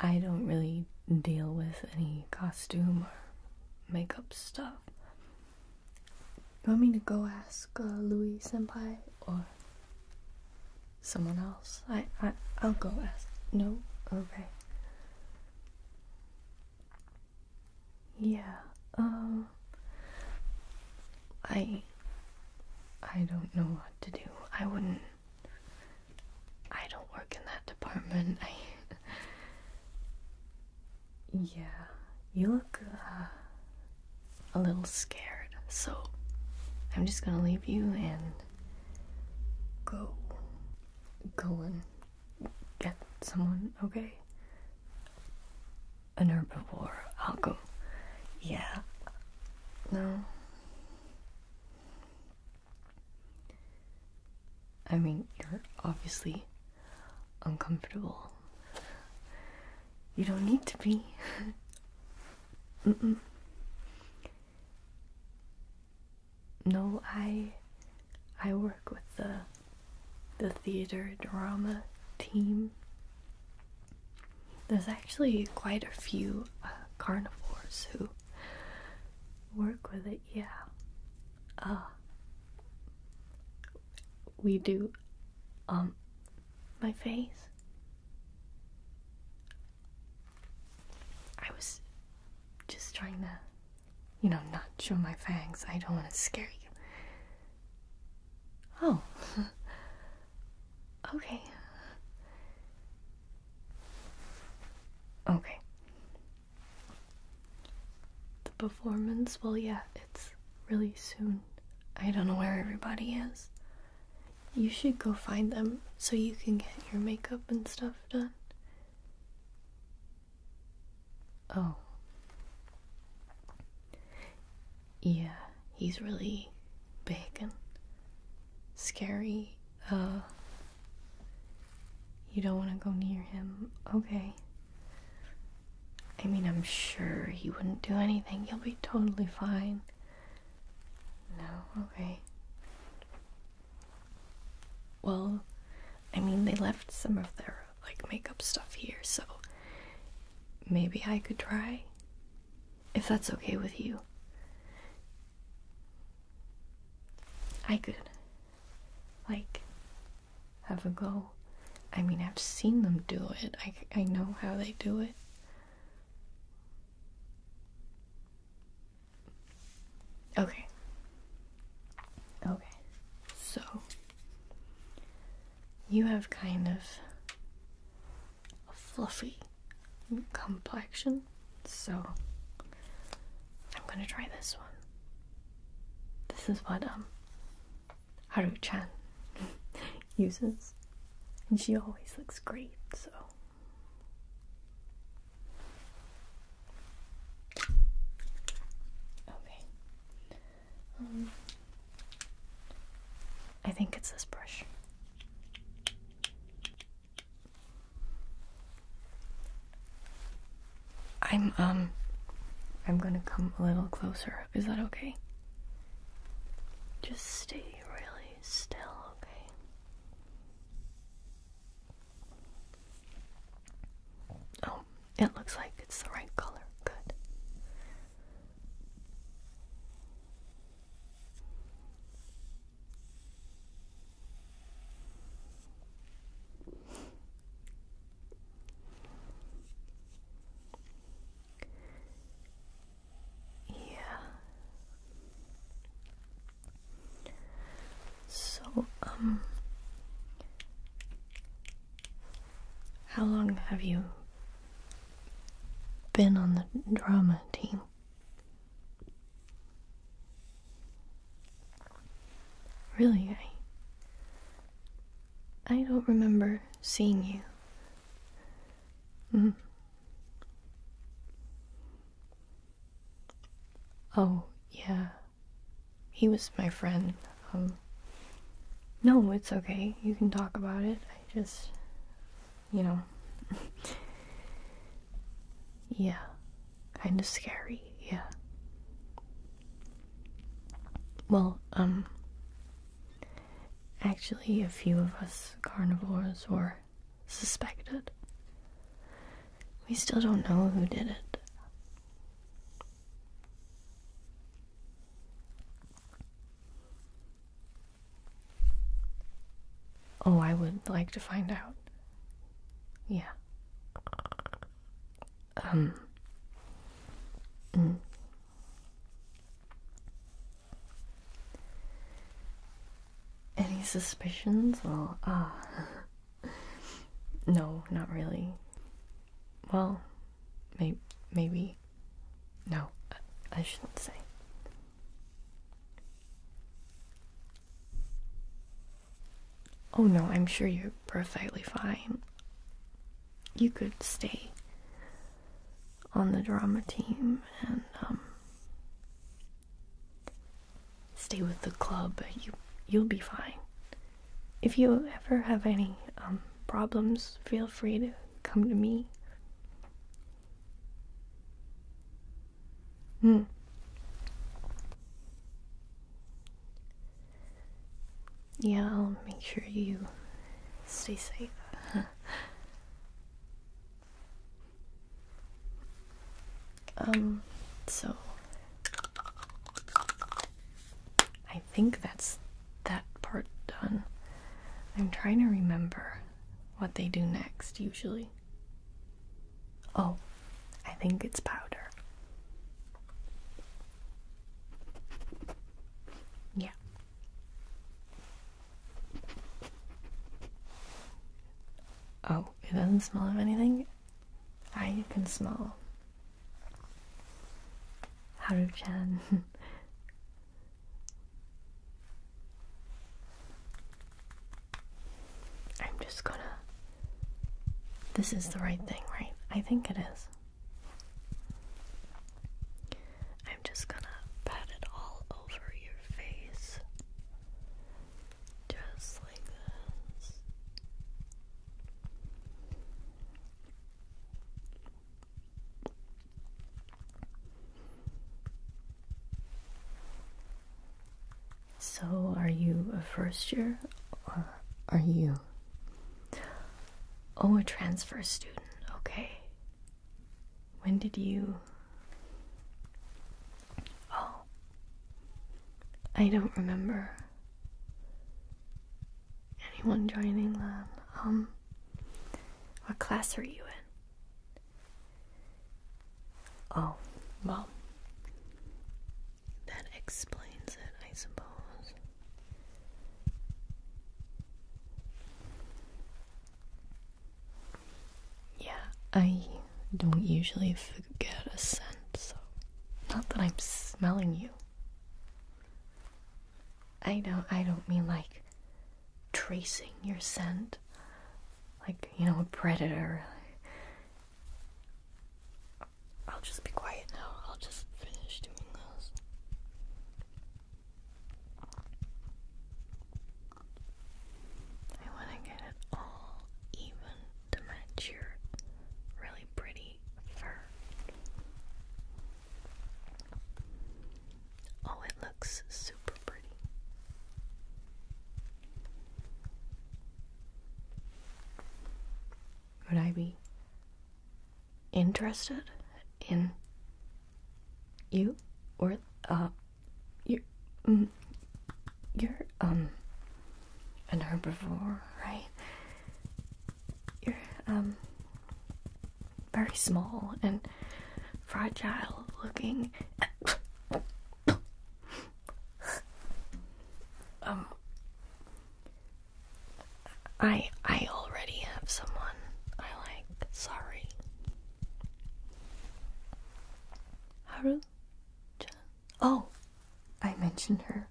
I don't really deal with any costume or makeup stuff. You want me to go ask uh, Louis Senpai or someone else? I, I I'll go ask. No, okay. Yeah. Um. I. I don't know what to do. I wouldn't. I don't work in that department. I yeah, you look uh, a little scared, so I'm just gonna leave you and go, go and get someone, okay? An herbivore. I'll go. Yeah. No. I mean, you're obviously uncomfortable. You don't need to be. mm -mm. No, I I work with the the theater drama team. There's actually quite a few uh, carnivores who work with it, yeah. Uh, we do, um, my face. I was just trying to, you know, not show my fangs. I don't want to scare you. Oh. okay. Okay. The performance, well, yeah, it's really soon. I don't know where everybody is. You should go find them so you can get your makeup and stuff done. Oh. Yeah, he's really big and scary uh, you don't want to go near him. Okay. I mean, I'm sure he wouldn't do anything. he will be totally fine. No, okay. Well, I mean, they left some of their, like, makeup stuff here, so maybe I could try if that's okay with you. I could, like, have a go. I mean, I've seen them do it, I, I know how they do it. Okay. Okay. So, you have kind of a fluffy complexion, so I'm gonna try this one. This is what um Haru Chan uses, and she always looks great, so. Okay. Um, I think it's this brush. I'm, um, I'm gonna come a little closer. Is that okay? Just stay really still, okay? Oh, it looks like it's the right color. Good. Yeah. So, um, how long have you been on the drama team. Really, I. I don't remember seeing you. Mm. Oh, yeah. He was my friend. Um. No, it's okay. You can talk about it. I just you know. yeah, kind of scary, yeah. Well, um, actually, a few of us carnivores were suspected. We still don't know who did it. Oh, I would like to find out. Yeah. Um. Mm. Any suspicions? Well, ah. no, not really. Well, may- maybe. No, I, shouldn't say. Oh no, I'm sure you're perfectly fine. You could stay on the drama team and um, stay with the club. You you'll be fine. If you ever have any um, problems, feel free to come to me. Hmm. Yeah, I'll make sure you stay safe. um, so think that's that part done. I'm trying to remember what they do next usually. Oh, I think it's powder. Yeah. Oh, it doesn't smell of anything? I can smell. Haru-chan. I'm just gonna. This is the right thing, right? I think it is. I'm just gonna pat it all over your face. Just like this. So, are you a first year or are you? Oh, a transfer student. Okay. When did you? Oh, I don't remember anyone joining um, um, what class are you in? Oh, well, that explains it, I suppose. Yeah, I don't usually forget a scent, so. Not that I'm smelling you. I don't. I don't mean like tracing your scent, like, you know, a predator. I'll just be quiet now. I'll just finish doing those. I want to get it all even to match your really pretty fur. Oh, it looks super pretty. Would I be interested in you or uh you are mm, um an herbivore, right? You're um very small and fragile looking. um I I already have someone I like. Sorry. Haru? Oh, I mentioned her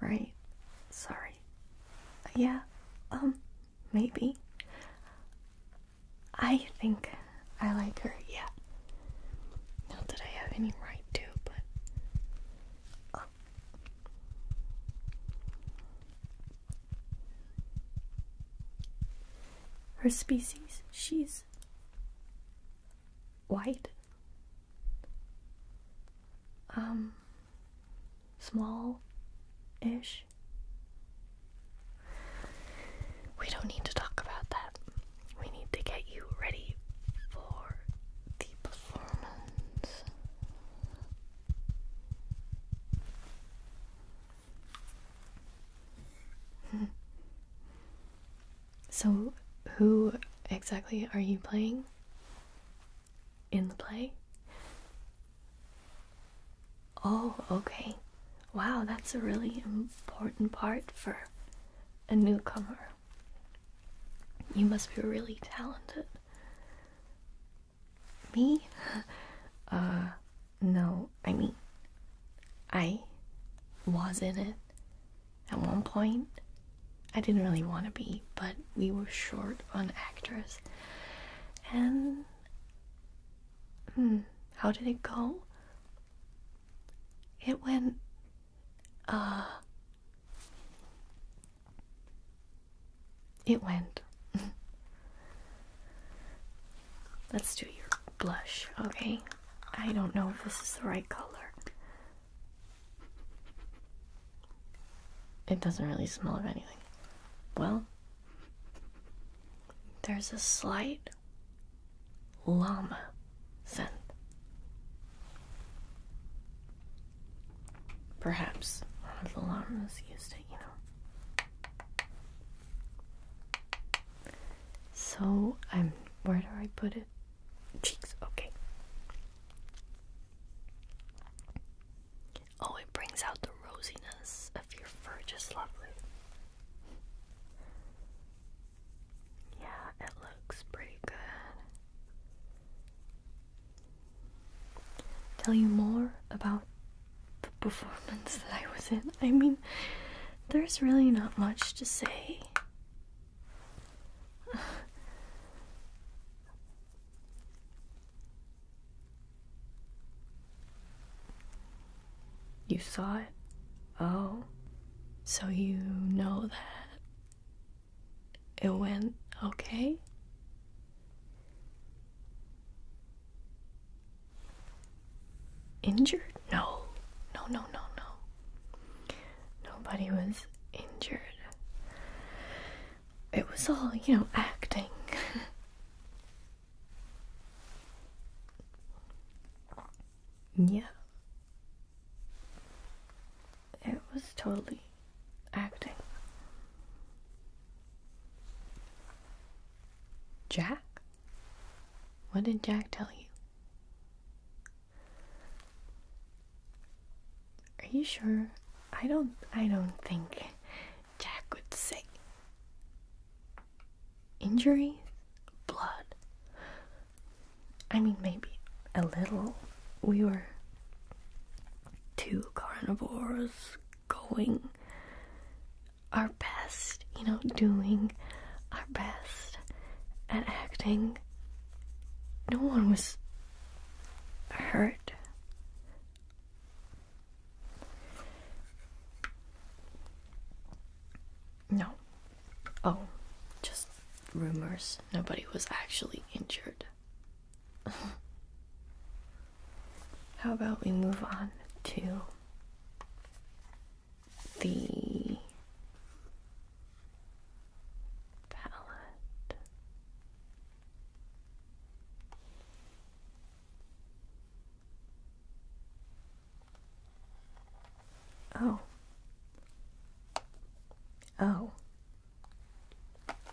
right? Sorry. Yeah, um, maybe. I think I like her, yeah. Not that I have any right to, but. Um, her species, she's white. Um, small ish. We don't need to talk about that. We need to get you ready for the performance. so, who exactly are you playing? in the play? Oh, okay. Wow, that's a really important part for a newcomer. You must be really talented. Me? Uh, no, I mean, I was in it at one point, I didn't really want to be, but we were short on actors. And hmm, how did it go? It went uh It went. Let's do your blush, okay? I don't know if this is the right color. It doesn't really smell of anything. Well, there's a slight llama scent. Perhaps one of the llamas used it, you know. So I'm. Where do I put it? Cheeks, okay. Oh, it brings out the rosiness of your fur just lovely. Yeah, it looks pretty good. Tell you more about the performance that I was in. I mean, there's really not much to say. You saw it? Oh. So you know that it went okay? Injured? No. No, no, no, no. Nobody was injured. It was all, you know, acting. yeah. It was totally acting. Jack? What did Jack tell you? Are you sure? I don't I don't think Jack would say injuries, blood. I mean maybe a little. We were two carnivores going our best, you know, doing our best at acting no one was hurt. No. Oh, just rumors. Nobody was actually injured. How about we move on to the palette. Oh. Oh.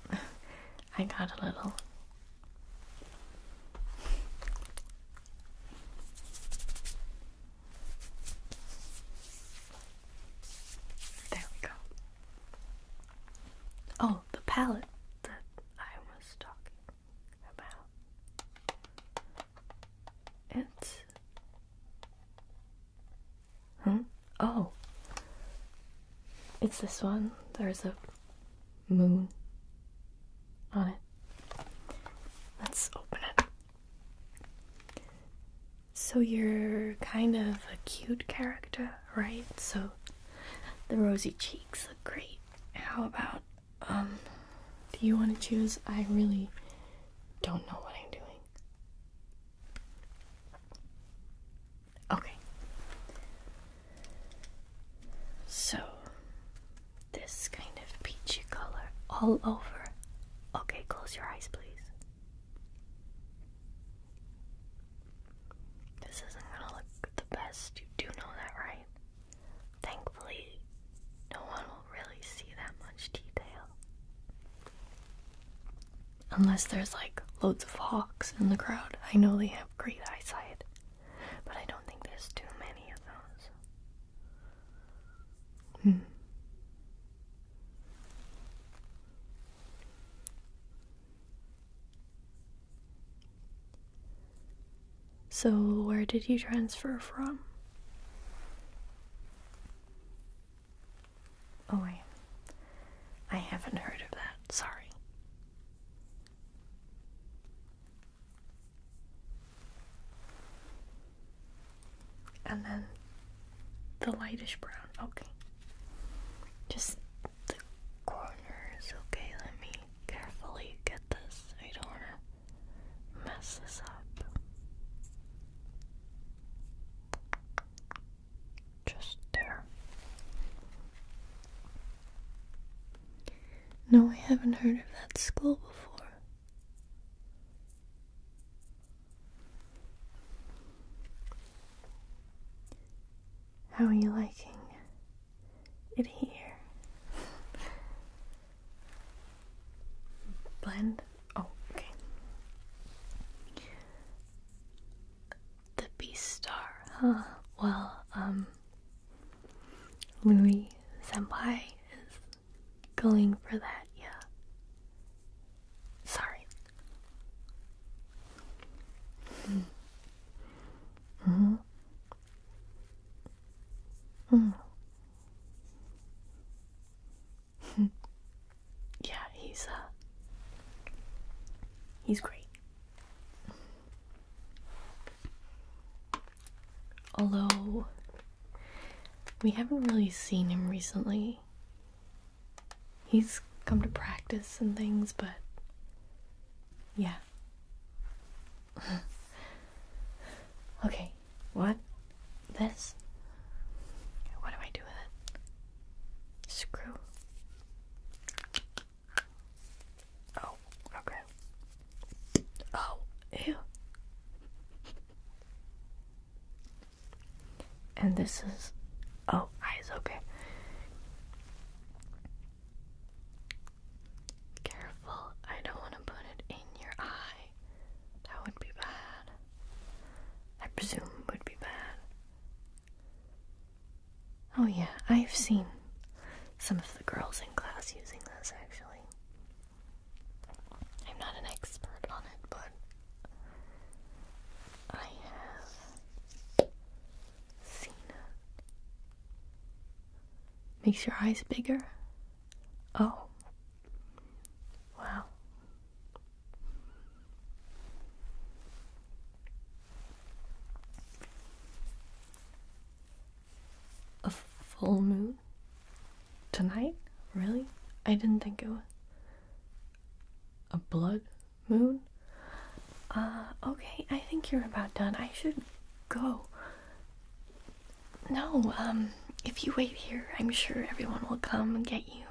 I got a little. There we go. Oh, the palette that I was talking about. It's. Hmm? Oh! It's this one. There's a moon on it. Let's open it. So you're kind of a cute character, right? So the rosy cheeks look great. How about, um, do you want to choose? I really don't know what I'm doing. Okay. So, this kind of peachy color all over Okay, close your eyes, please. This isn't gonna look the best. You do know that, right? Thankfully, no one will really see that much detail. Unless there's like loads of hawks in the crowd. I know they have great eyesight, but I don't think there's too many of those. Hmm. So, where did you transfer from? Oh, I, I haven't heard of that. Sorry and then the lightish brown. Okay. Just the corners. Okay, let me carefully get this. I don't want to mess this up. Just there. No, I haven't heard of that school before. How are you liking it here? Blend? Oh, okay. The Beast Star, huh? Well, um, Louis Senpai is going for that, yeah. Sorry. Mm hmm. yeah, he's uh he's great. Hello. We haven't really seen him recently. He's come to practice and things, but yeah. okay, what? This? What do I do with it? Screw. Oh, okay. Oh, ew. And this is. Oh, eyes, okay. Careful, I don't want to put it in your eye. That would be bad. I presume would be bad. Oh, yeah, I've seen some of the girls in class using this actually. I'm not an expert on it, but I have seen it. Makes your eyes bigger? Oh. Wow. A full moon? tonight? Really? I didn't think it was a blood moon. Uh, okay, I think you're about done. I should go. No, um, if you wait here, I'm sure everyone will come and get you.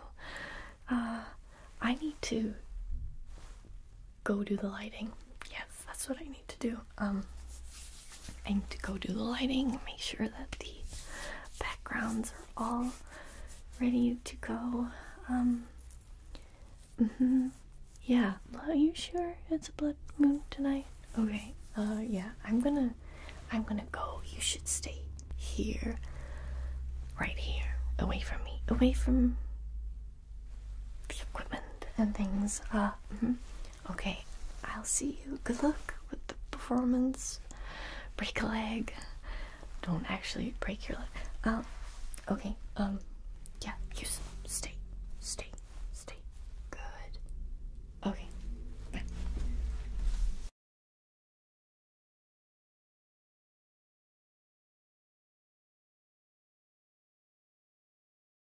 Uh, I need to go do the lighting. Yeah that's what I need to do. Um, I need to go do the lighting make sure that the backgrounds are all ready to go. Um, mm-hmm. Yeah, are you sure it's a blood moon tonight? Okay, uh, yeah, I'm gonna, I'm gonna go. You should stay here, right here, away from me, away from the equipment and things. Uh, mm-hmm. Okay, I'll see you. Good luck with the performance. Break a leg. Don't actually break your leg. Um, okay, um, yeah, you stay, stay, stay. Good. Okay, bye.